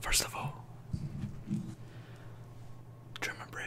First of all, German bread.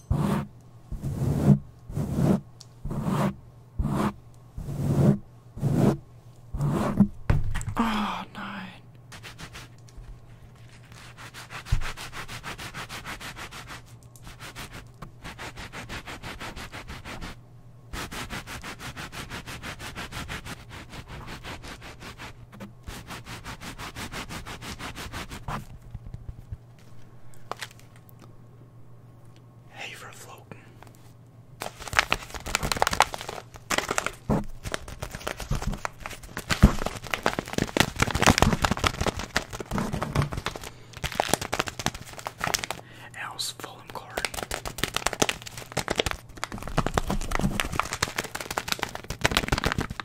Oh, nine. Hey for floating. Else Fulham Court.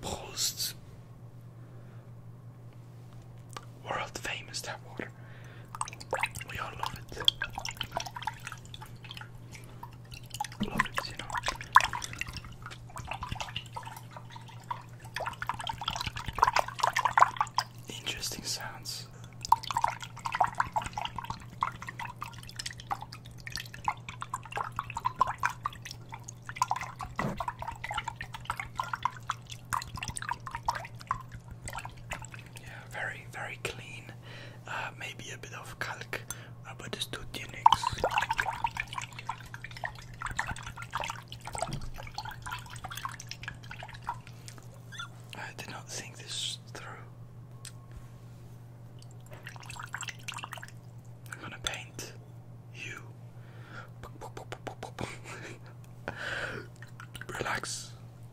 Polst. World famous tap water. We all love it. Love it, you know. Interesting sounds. Yeah, very, very clean. Uh, maybe a bit of calc, uh, but it's two tunics. I did not think this through. I'm gonna paint you. Relax,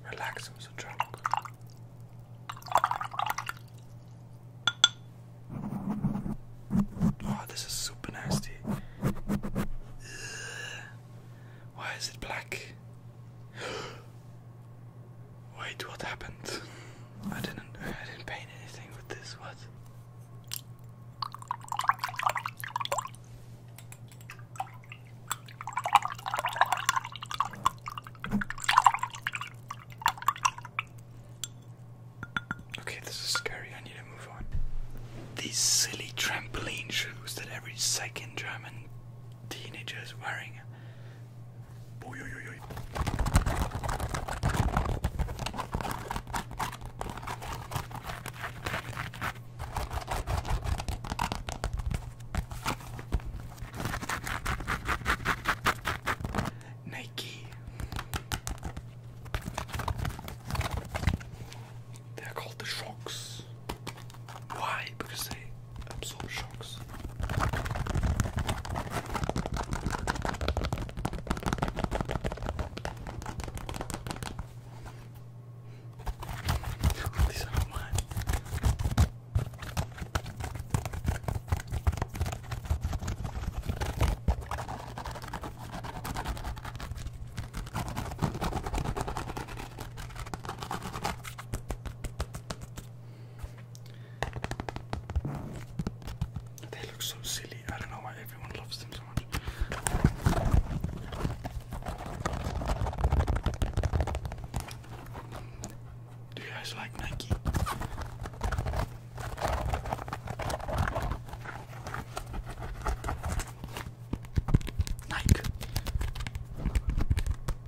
relax, I'm so drunk. Oh, this is super nasty. Why is it black? Wait, what happened? I didn't I didn't paint anything with this, what? Okay, this is scary. I need to move on. These silly trampoline shoes that every second German teenager is wearing. Oy, oy, oy, oy. Nike. They're called the shocks. Why? Because they absorb shocks. These are not mine. They look so silly. I don't know why everyone loves them so much. Do you guys like Nike? Nike.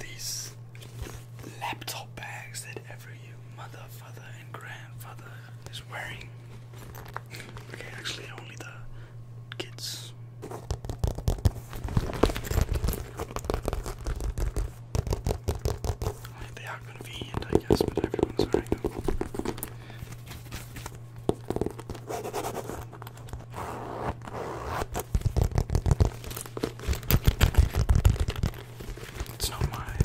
These laptop bags that every mother, father, and grandfather is wearing. Okay, actually, only the kids they are convenient, I guess, but everyone's wearing It's not mine,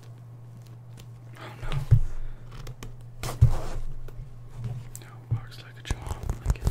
Oh no. No, works like a charm. Like it.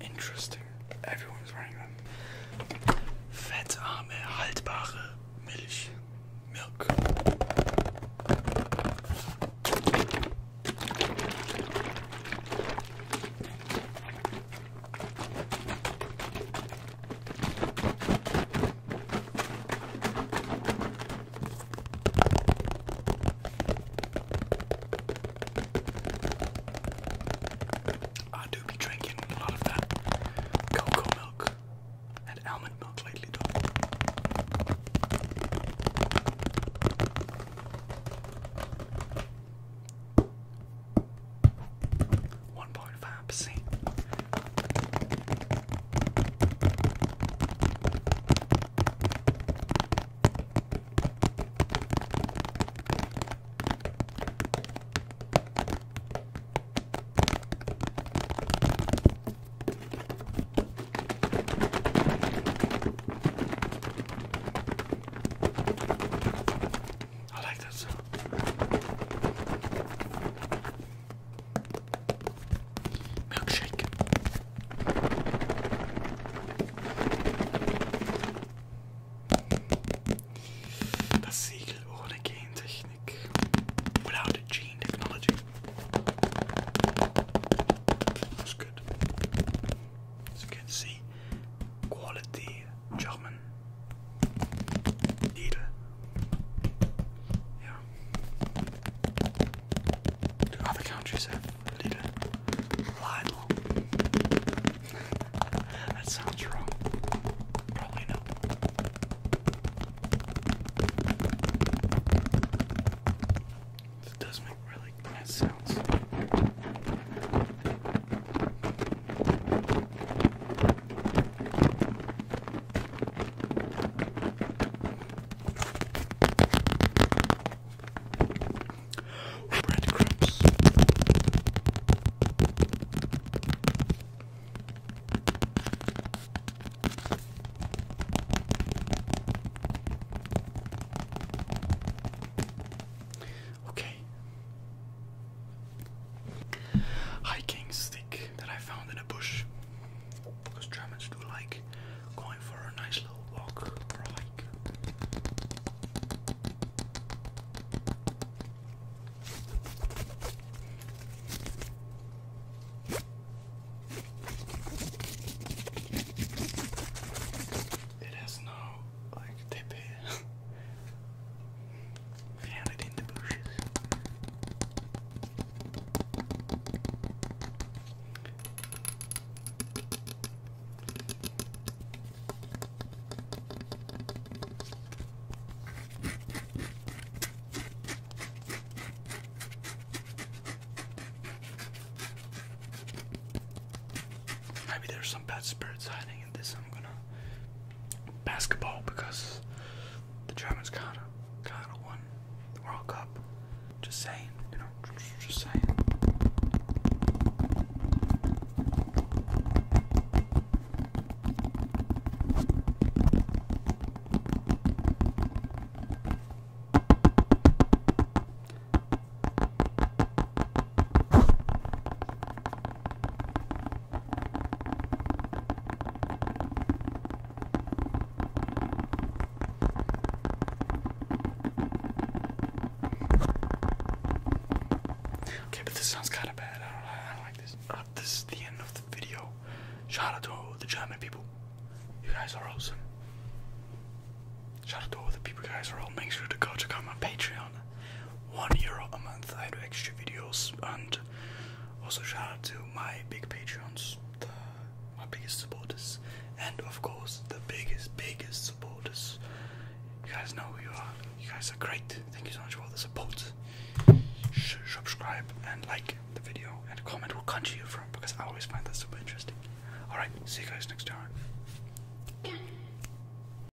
Interesting. Everyone's wearing them. Fettarme, haltbare Milch. Milk. I do be drinking a lot of that cocoa milk and almond milk lately, though. 1.5%. I like that sound. Milkshake. Das Siegel ohne Gentechnik. Without a gene technology. That's good. As you can see, quality German. Lidl. Yeah. other countries have Lidl? that sounds wrong. Probably not. It does make really nice sounds. Breadcrumbs. Okay, hiking stick that I found in a bush. Because Germans do like going for a nice little walk or hike. It has no like tippy. Found it in the bushes. Maybe there's some bad spirits hiding in this. I'm gonna basketball because the Germans kinda kinda won the World Cup. Just saying, you know, just saying. Okay, but this sounds kind of bad. I don't, like this. Uh, this is the end of the video. Shout out to all the German people. You guys are awesome. Shout out to all the people, guys are all. Make sure to go check out my Patreon one euro a month I do extra videos and also shout out to my big patrons, the, my biggest supporters and of course the biggest, biggest supporters. You guys know who you are. You guys are great. Thank you so much for all the support. subscribe and like the video and comment come to you from because I always find that super interesting. Alright, see you guys next time.